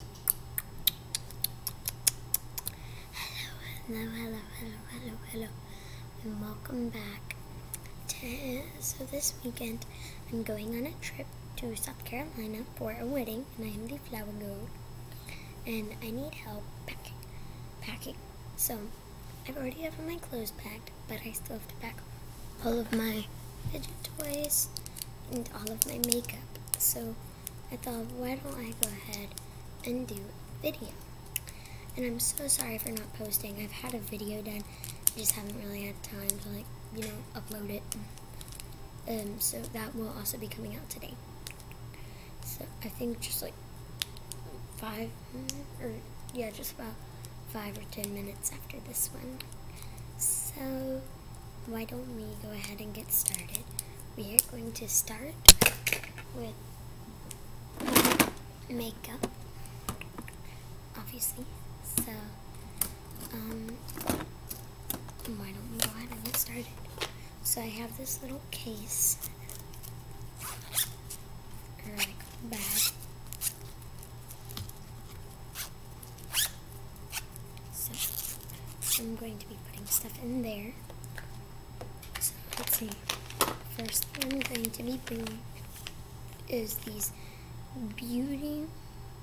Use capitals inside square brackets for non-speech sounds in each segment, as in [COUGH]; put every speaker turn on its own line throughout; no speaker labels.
Hello, hello, hello, hello, hello, and welcome back. To, so this weekend, I'm going on a trip to South Carolina for a wedding, and I am the flower girl, and I need help packing. Packing. So, I've already have my clothes packed, but I still have to pack all of my fidget toys and all of my makeup. So, I thought, why don't I go ahead and do video? And I'm so sorry for not posting. I've had a video done, I just haven't really had time to, like, you know, upload it. Um, so that will also be coming out today. So I think just like five, or yeah, just about five or ten minutes after this one. So why don't we go ahead and get started? We are going to start with makeup, obviously. So, um, why don't we go ahead and get started? So I have this little case, or like bag, so I'm going to be putting stuff in there. So let's see. First thing I'm going to be bringing is these Beauty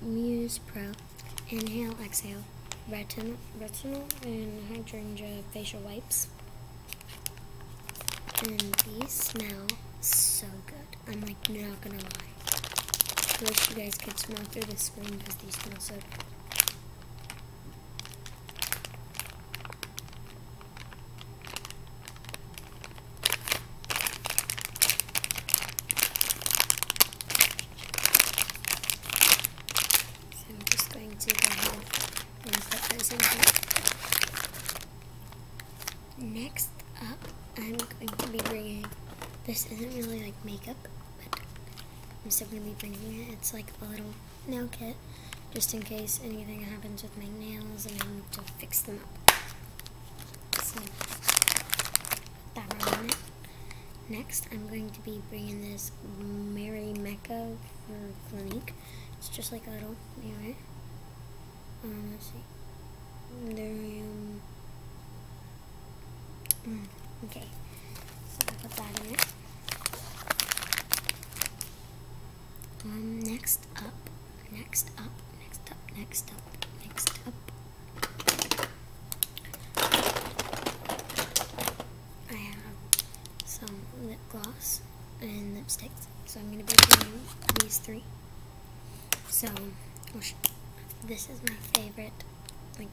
Muse Pro Inhale Exhale Retin Retinol and Hydrangea Facial Wipes. And these smell so good. I'm like not gonna lie. I wish you guys could smell through the screen because these smell so good. So I'm just going to go ahead and put those in here. Next up, I'm going to be bringing, this isn't really like makeup but I'm still going to be bringing it. It's like a little nail kit, just in case anything happens with my nails and I need to fix them up. So, that right Next, I'm going to be bringing this Mary Mecca for Clinique. It's just like a little mirror. Um, let's see. There I am. Mm. Okay, so I put that in it. next up, next up, next up, next up, next up. I have some lip gloss and lipsticks, so I'm going to be doing these three. So, this is my favorite like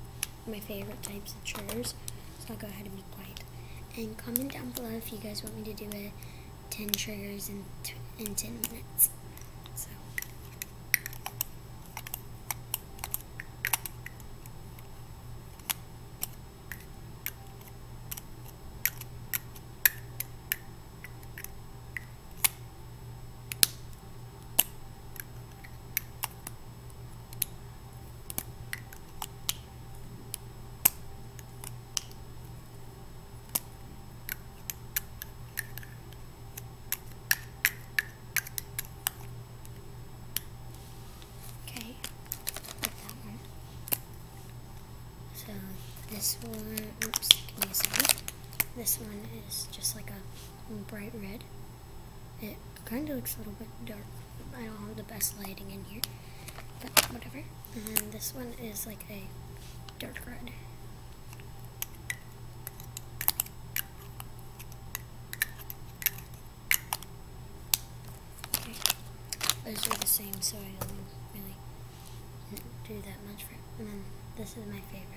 my favorite types of triggers. So I'll go ahead and be quiet. And comment down below if you guys want me to do a 10 triggers in, in 10 minutes. So. Okay, like that one. So this one, oops, give me a This one is just like a bright red. It kind of looks a little bit dark. I don't have the best lighting in here, but whatever. And then this one is like a dark red. Okay. Those are the same, so I don't really do that much for it. And then this is my favorite.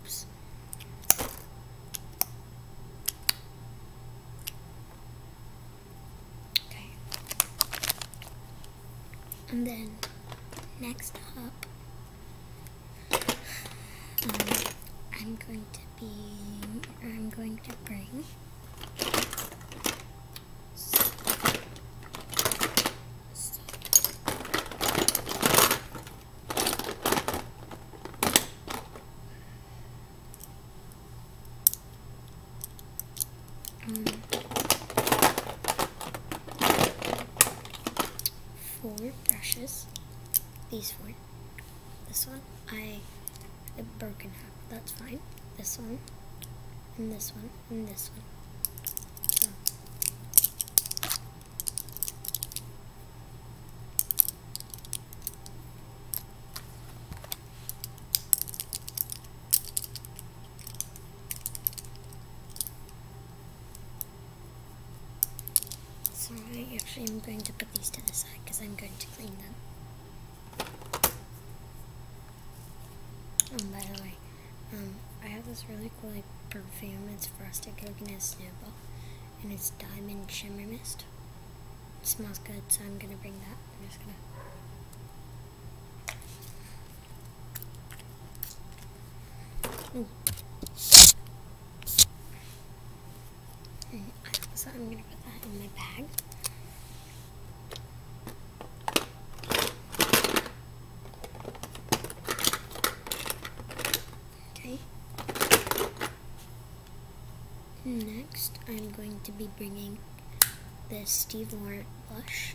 Oops. Okay. And then next up, um, I'm going to be, I'm going to bring Mm. four brushes. These four. This one I I broke in half. That's fine. This one and this one and this one. So I'm going to put these to the side because I'm going to clean them. And by the way, um, I have this really cool like, perfume. It's Frosted Coconut Snowball. And it's Diamond Shimmer Mist. It smells good, so I'm going to bring that. I'm just going to Mm. So I'm gonna put that in my bag. Okay. Next, I'm going to be bringing the Steve Laurent blush.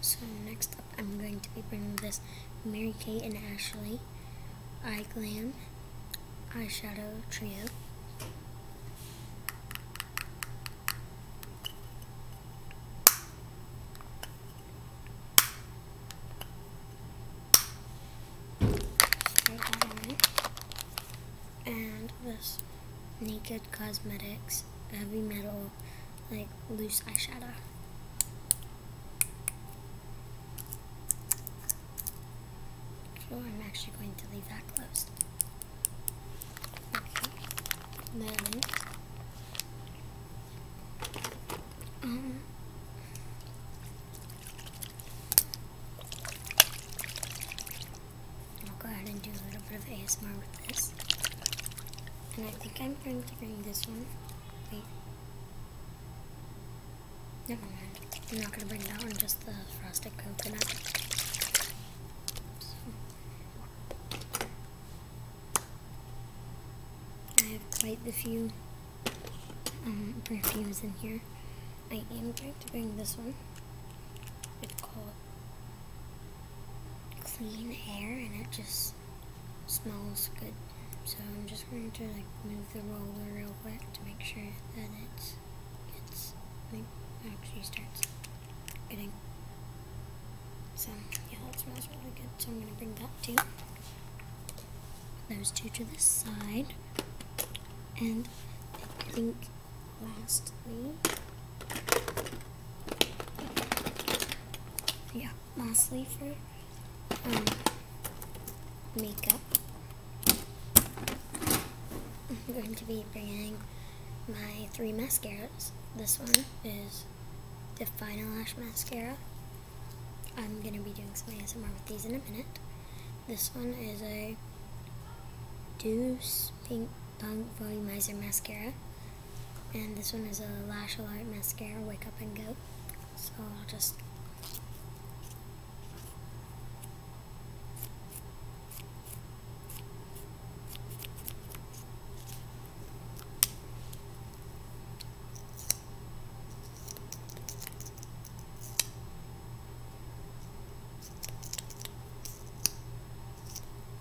so next up I'm going to be bringing this Mary Kate and Ashley Eye Glam Eyeshadow Trio. And this Naked Cosmetics Heavy Metal like loose eyeshadow. So I'm actually going to leave that closed. Then, um, I'll go ahead and do a little bit of ASMR with this. And I think I'm going to bring this one Never mind. I'm not gonna bring that one, just the frosted coconut. I have quite the few um, perfumes in here. I am going to bring this one. It's called Clean Air, and it just smells good. So I'm just going to like move the roller real quick to make sure that it's gets like actually starts getting. So yeah, that smells really good. So I'm gonna bring that to those two to the side, and I think lastly, yeah lastly for um, makeup, I'm going to be bringing my three mascaras. This one is the Final Lash Mascara. I'm going to be doing something ASMR with these in a minute. This one is a Deuce Pink Punk Volumizer Mascara. And this one is a Lash Alert Mascara Wake Up and Go. So I'll just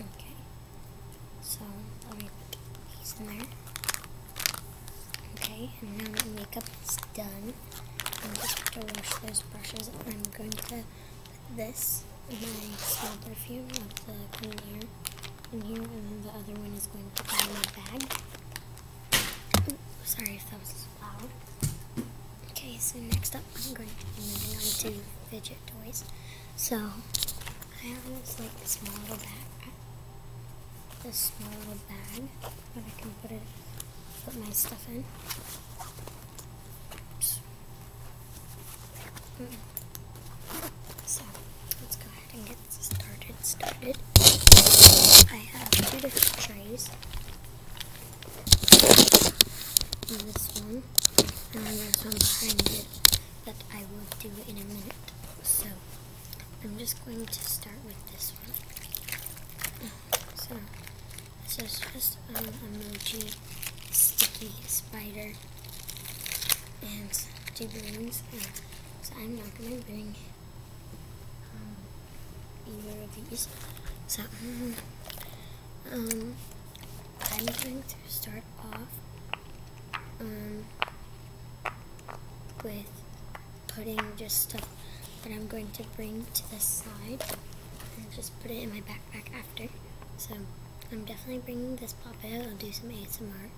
Okay. So let me put these in there. Okay, and now my makeup is done. I'm just going to wash those brushes. I'm going to put this in my small perfume of the clean air in here, and then the other one is going to go in my bag. sorry if that was loud. Okay, so next up, I'm going to be moving on to fidget toys. So, I have this like small little bag, this small little bag that I can put it, put my stuff in. Mm. So, let's go ahead and get started, started. I have two different trays. And this one, and then there's one behind it that I will do in a minute. So, I'm just going to start with this one. So, this is just an um, emoji sticky spider and two balloons. Uh, so I'm not going to bring um, either of these. So um, I'm going to start off um, with putting just stuff that I'm going to bring to the side and just put it in my backpack after. So I'm definitely bringing this pop out. I'll do some ASMR.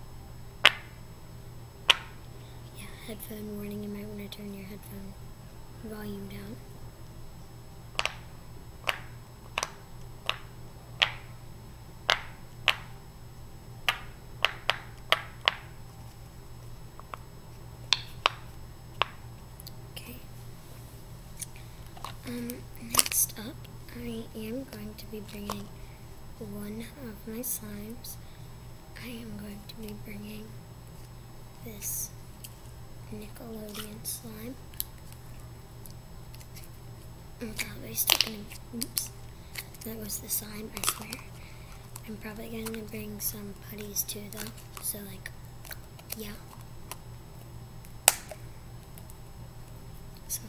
Yeah, headphone warning, you might want to turn your headphone volume down. Okay. Um, next up, I am going to be bringing one of my slimes, I am going to be bringing this Nickelodeon slime. I'm probably still oops, that was the slime, I swear. I'm probably gonna bring some putties too though, so like, yeah. So,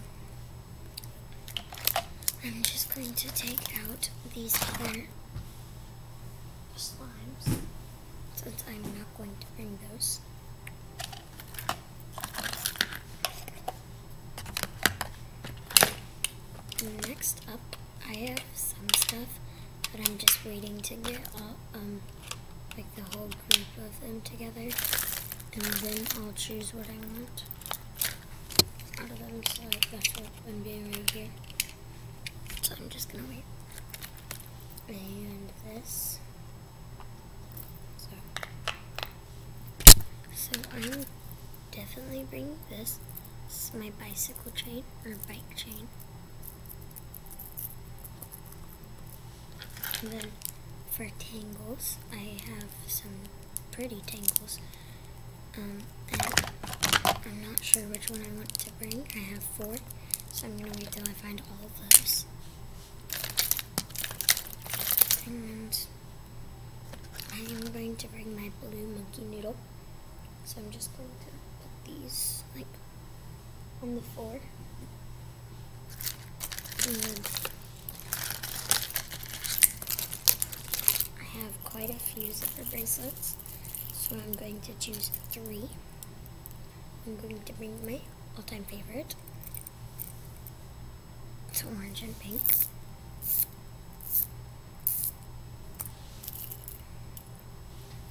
I'm just going to take out these other slimes since I'm not going to bring those. next up, I have some stuff that I'm just waiting to get all, um, like the whole group of them together. And then I'll choose what I want so I'm just gonna wait. And this. So. So I'm definitely bringing this. my bicycle chain, or bike chain. And then for tangles, I have some pretty tangles. Um, I'm not sure which one I want to bring. I have four, so I'm going to wait till I find all of those. And I am going to bring my blue monkey noodle. So I'm just going to put these, like, on the floor. I have quite a few zipper bracelets, so I'm going to choose three. I'm going to bring my all-time favorite. It's orange and pink.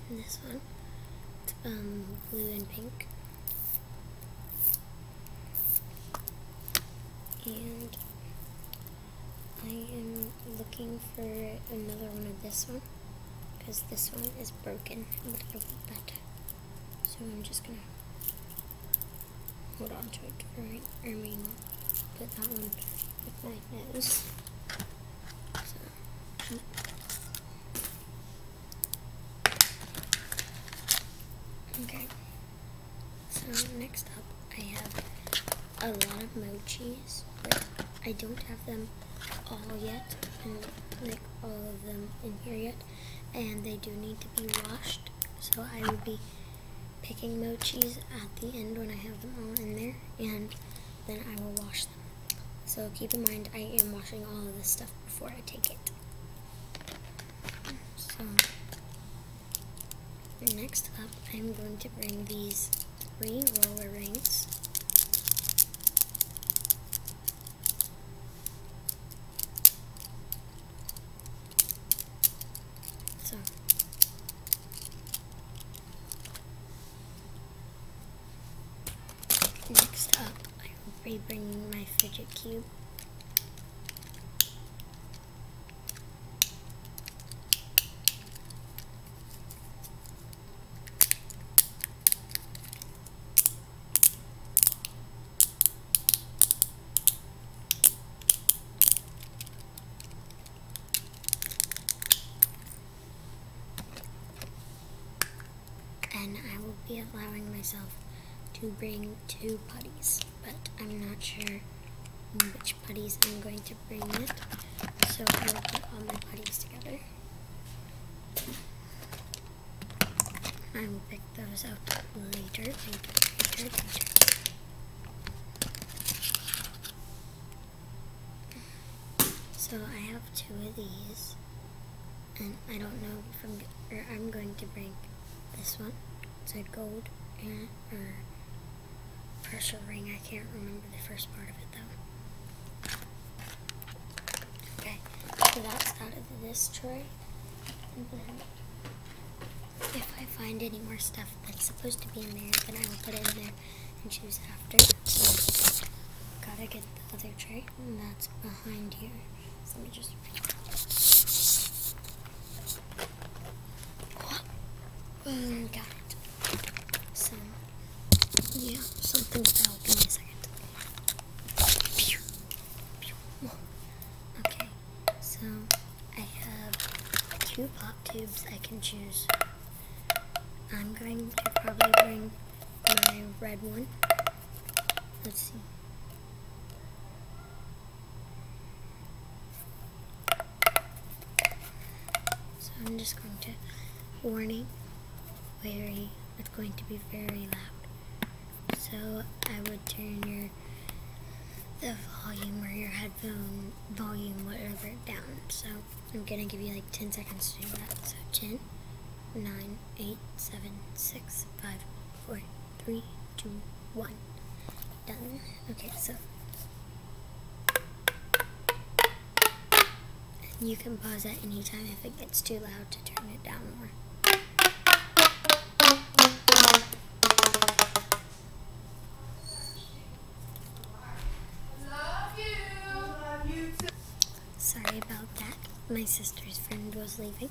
And this one, it's um, blue and pink. And I am looking for another one of this one because this one is broken, but it'll be So I'm just gonna hold on to it for right, I mean, put that one with my nose. Hmm. okay. So next up, I have a lot of mochis, but I don't have them all yet, I don't like all of them in here yet, and they do need to be washed. So I will be picking mochis at the end when I have them all in there, and then I will wash them. So keep in mind, I am washing all of this stuff before I take it. So next up, I'm going to bring these three roller rings. So next up, I will be bringing my fidget cube and I will be allowing myself to bring two buddies but I'm not sure which putties I'm going to bring it. So I will put all my putties together. I will pick those up later, later, later, later. So I have two of these and I don't know if I'm, going to bring this one. It's a gold and, or pressure ring. I can't remember the first part of it though. Okay, so that's out of this tray. And then if I find any more stuff that's supposed to be in there, then I will put it in there and choose after. So, gotta get the other tray, and that's behind here. So let me just. Um, got some. Yeah, something fell. Give me a second. Okay, so I have two pop tubes I can choose. I'm going to probably bring my red one. Let's see. So I'm just going to warning very it's going to be very loud. So I would turn your the volume or your headphone volume whatever down. So I'm gonna give you like 10 seconds to do that. So 10, 9, 8, 7, 6, 5, four, three, two, one. Done. Okay, so you can pause at any time if it gets too loud to turn it down more. Sorry about that. My sister's friend was leaving.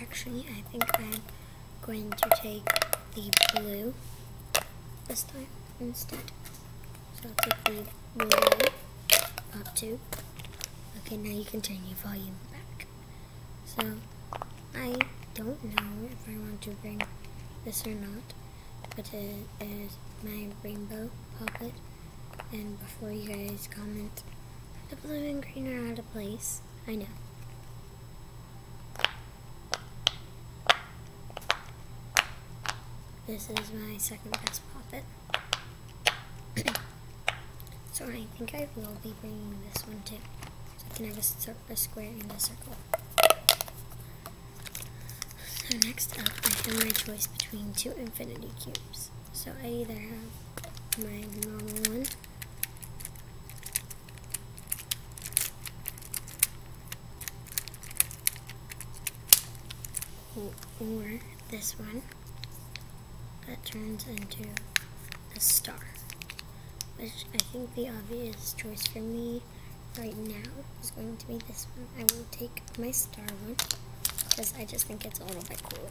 Actually, I think I'm going to take the blue this time instead. So I'll take the blue up two. Okay, now you can turn your volume back. So, I don't know if I want to bring this or not, but it is my rainbow puppet. And before you guys comment the blue and green are out of place. I know. This is my second best puppet. [CLEARS THROAT] so I think I will be bringing this one too. So I can have a, a square and a circle. So next up, I have my choice between two infinity cubes. So I either have my normal one or this one that turns into a star which I think the obvious choice for me right now is going to be this one. I will take my star one because I just think it's a little bit cooler.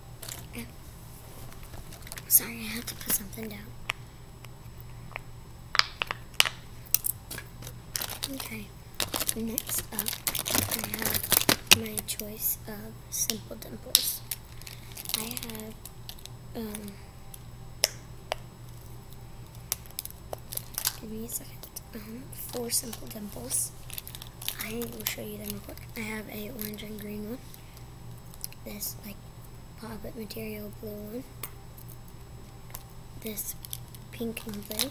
Oh. Sorry, I have to put something down. Okay, next up, I have my choice of Simple Dimples. I have, um, give me a second, um, four Simple Dimples. I will show you them real quick. I have a orange and green one. This like pop-up material blue one. This pink and blue.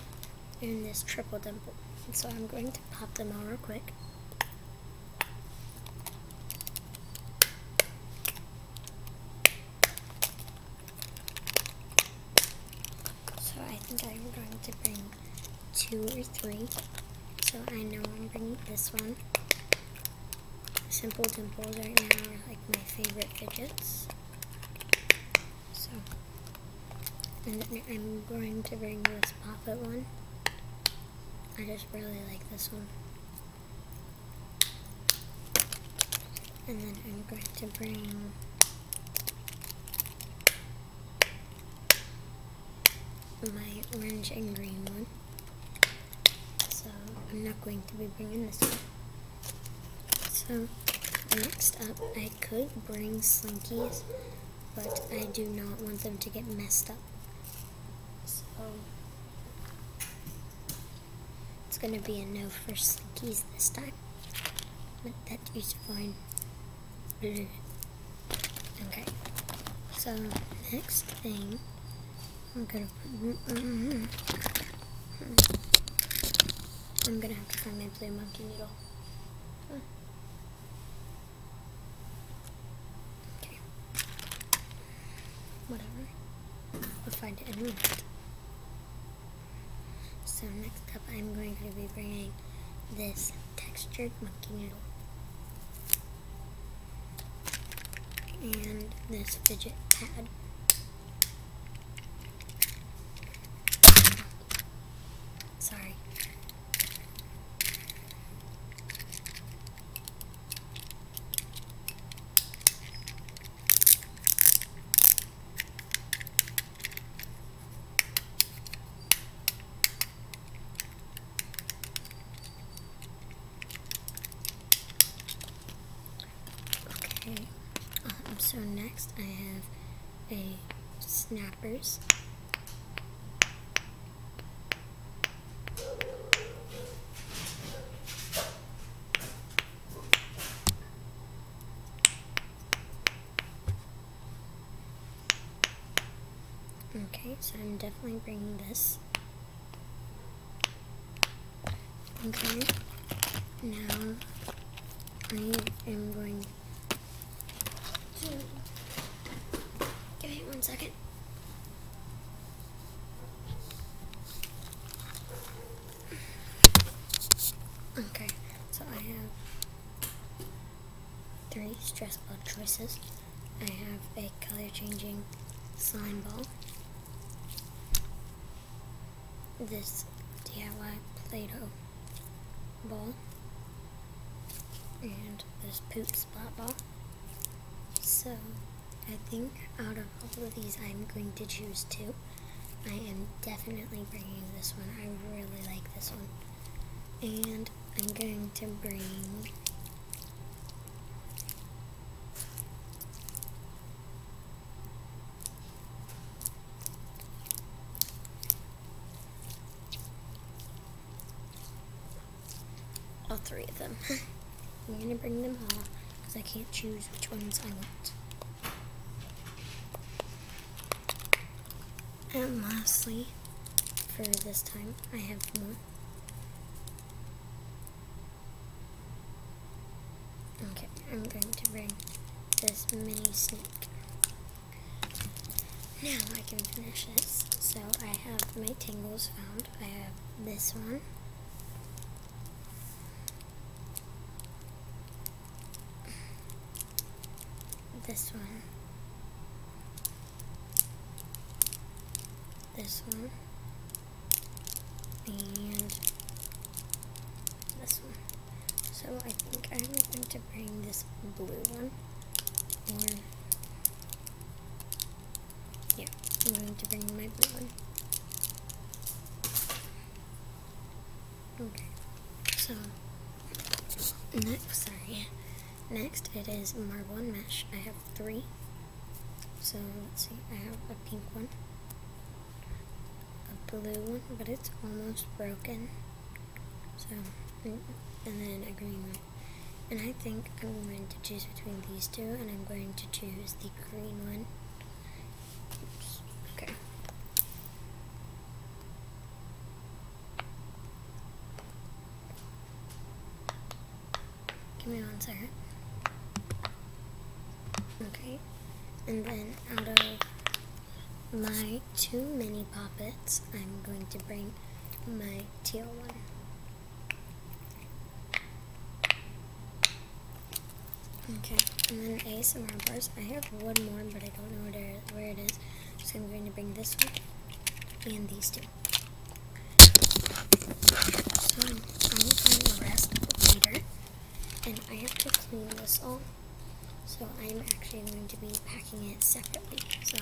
And this triple dimple. so I'm going to pop them all real quick. So I think I'm going to bring two or three. So I know I'm bringing this one. Simple Dimples right now are like my favorite fidgets. So, and I'm going to bring this Poppet one. I just really like this one. And then I'm going to bring my orange and green one. So I'm not going to be bringing this one. So next up, I could bring Slinkies, but I do not want them to get messed up. So it's going to be a no for Slinkies this time. But that is fine. Mm-hmm. Okay. So next thing, I'm gonna. Mm, mm, mm, hmm. I'm gonna have to find my blue monkey needle. Hmm. Okay. Whatever. We'll find it in a minute. So next up, I'm going to be bringing this textured monkey noodle. And this fidget pad. Sorry. Okay, um, so next I have a snappers. Okay, so I'm definitely bringing this. Okay, now I am going to, give me one second. Okay, so I have three stress ball choices. I have a color changing slime ball. This DIY Play-Doh ball. And this poop spot ball. So, I think out of all of these I'm going to choose two. I am definitely bringing this one. I really like this one and I'm going to bring all three of them. [LAUGHS] I'm gonna bring them all because I can't choose which ones I want. And lastly, for this time, I have more. Okay, I'm going to bring this mini snake. Now I can finish this. So I have my tangles found. I have this one this one, this one, and this one. So I think I'm going to bring this blue one, or, yeah, I'm going to bring my blue one. Okay, so next, sorry, next it is marble and mesh. I have three. So let's see, I have a pink one, a blue one, but it's almost broken. So, mm, and then a green one. And I think I'm going to choose between these two, and I'm going to choose the green one. Okay. Give me one second. Okay, and then out of my two mini poppets, I'm going to bring my teal one. Okay, and then ace and bars. I have one more, but I don't know where it is. So I'm going to bring this one and these two. So I'm going to rest later. And I have to clean this all. So I'm actually going to be packing it separately. So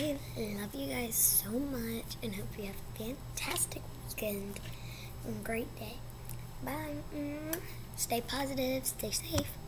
I love you guys so much and hope you have a fantastic weekend and great day. Bye. Mm. Stay positive, stay safe.